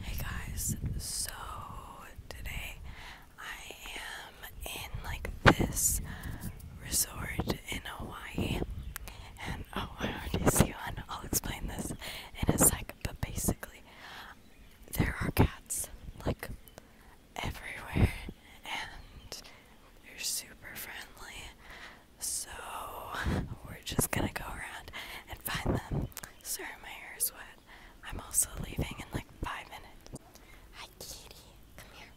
Hey guys, so today I am in like this resort in Hawaii, and oh, I already see one. I'll explain this in a sec, but basically, there are cats like everywhere, and they're super friendly. So, we're just gonna go around and find them. Sir, my hair is wet. I'm also leaving in like five minutes. Hi, kitty. Come here.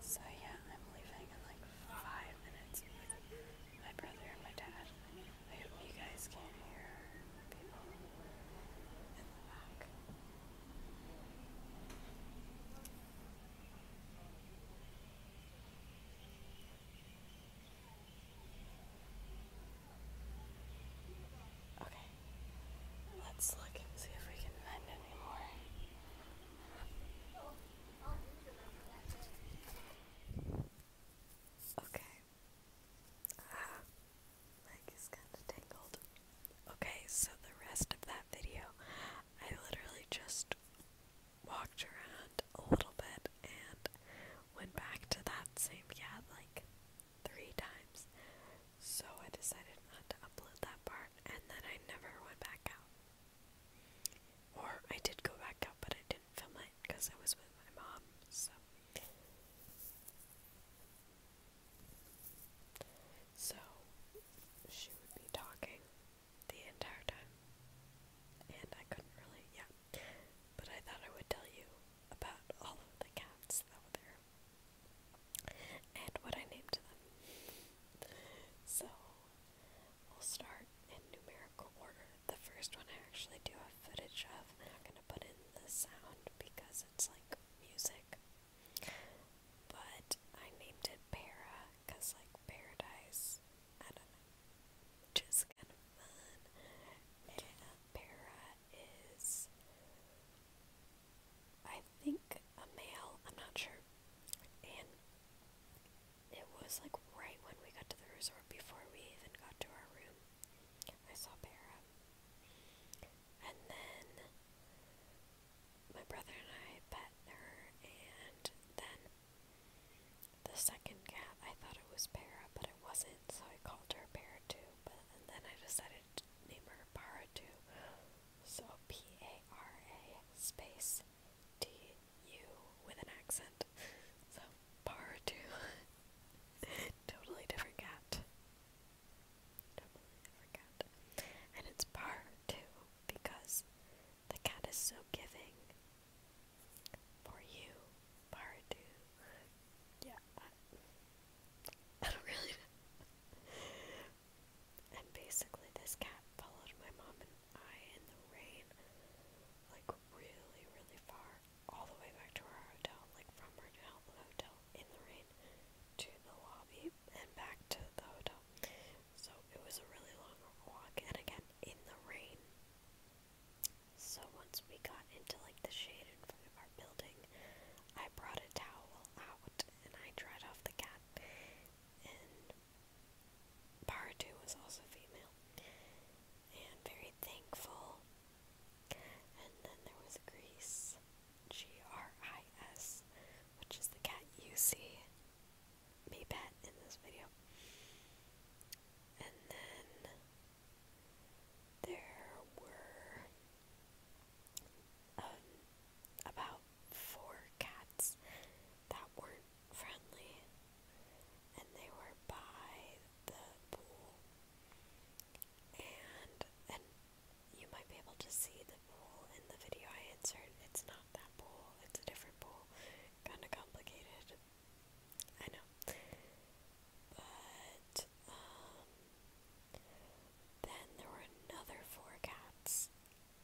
So, yeah, I'm leaving in like five minutes my brother and my dad. I hope you guys can hear Okay, let's look and see if we can mend any Okay, Ah, like is kind of tangled. Okay, so the rest of that video, I literally just walked around a little bit and went back to that same cat like three times. So I decided not to upload that part and then I never went back out. Or I did go back out, but I didn't film it because I was with my mom, so. So she would be talking the entire time, and I couldn't really, yeah. But I thought I would tell you about all of the cats that were there and what I named them. So we'll start in numerical order. The first one I actually do have footage of. I'm not gonna put in the sound because it's like music. But I named it Para because like paradise. I don't know. Just kind of fun. And uh, Para is I think a male, I'm not sure. And it was like right when we got to the resort before we even got to our room. I saw Para. And then my brother and I pet her, and then the second cat, I thought it was Para, but it wasn't, so I called her Para too. But then I decided name her Para too. So P A R A space T U with an accent. So Pardu. totally different cat. Totally different cat. And it's Pardu because the cat is so giving. For you, Pardu. Yeah. I, don't really And basically this cat followed my mom and I in the rain like really, really far all the way back to our hotel, like from our hotel in the rain to the lobby and back to the hotel. So it was a really long walk, and again in the rain. So once we got into like the shade in front of our building, I brought a towel out and I dried off the cat. And Paratu was also female, and very thankful and then there was Grease, G R I S, which is the cat you see me pet in this video. And then there were um, about four cats that were friendly and they were by the pool. And and you might be able to see the pool in the video I answered. It's not that pool, it's a different pool. Kinda complicated. I know. But um then there were another four cats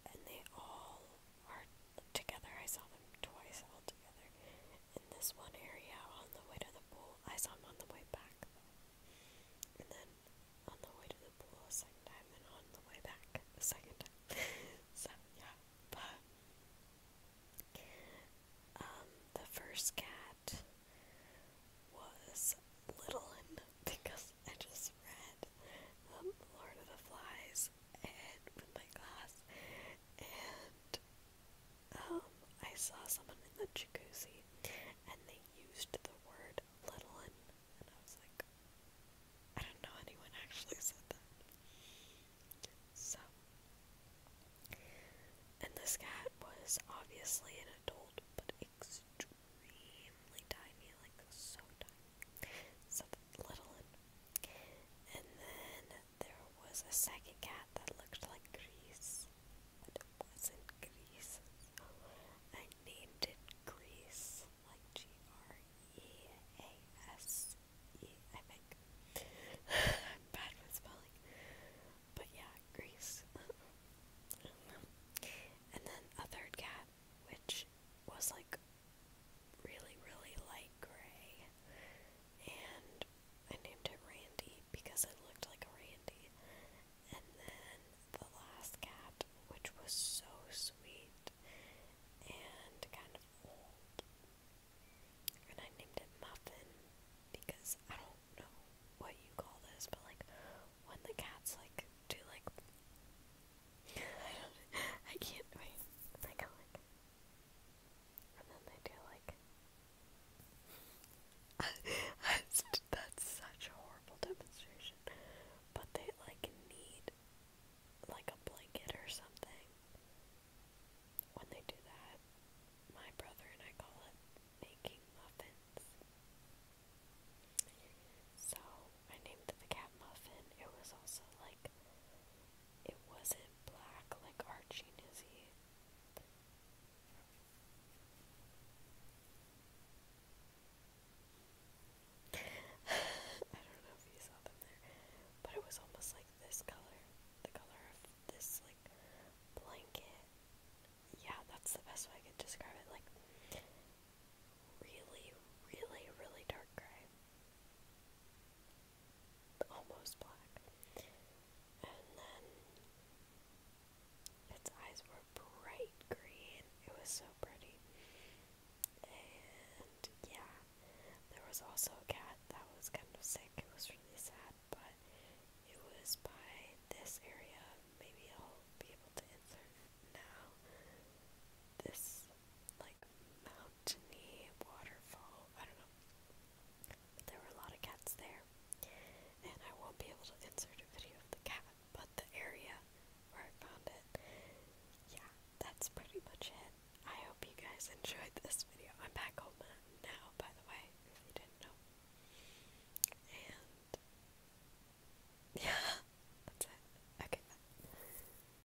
and they all are together. I saw them twice all together in this one area on the way to the pool. I saw him on the way back, and then on the way to the pool a second time, and on the way back a second time. so yeah, but um, the first cat was Littlin because I just read um, Lord of the Flies and my class, and um, I saw someone in the jacuzzi and they used the word little and and I was like I don't know anyone actually said that. So and this cat was obviously an adult but extremely tiny, like so tiny. So little and and then there was a second cat that looked like Grease, but it wasn't Grease. I named it Grease, like G R E A S E, I am bad with spelling. But yeah, Grease. and then a third cat, which was like really, really light gray, and I named it Randy because it looked like a Randy. And then the last cat, which was so sweet and kind of old, and I named it Muffin because I don't know what you call this, but like when the cats like do like I don't I can't wait. Like, like and then they do like that's such a horrible demonstration. But they like need like a blanket or something. When they do that, my brother and I call it making muffins. So I named the cat Muffin. It was also like, it wasn't black like Archie Nizzy. I don't know if you saw them there, but it was almost like this color, the color of this like blanket. Yeah, that's the best way I could describe it. Like really, really, really dark gray almost black. And then its eyes were bright green. It was so pretty. And yeah, there was also a cat that was kind of sick. It was really sad, but it was by this area. Maybe I'll be able to insert now. This like mountainy waterfall. I don't know. But there were a lot of cats there, and I won't be able to insert a video of the cat, but the area where I found it. Yeah, that's pretty much it. I hope you guys enjoyed this video. I'm back home now, by the way, if you didn't know. And yeah, that's it. Okay, bye.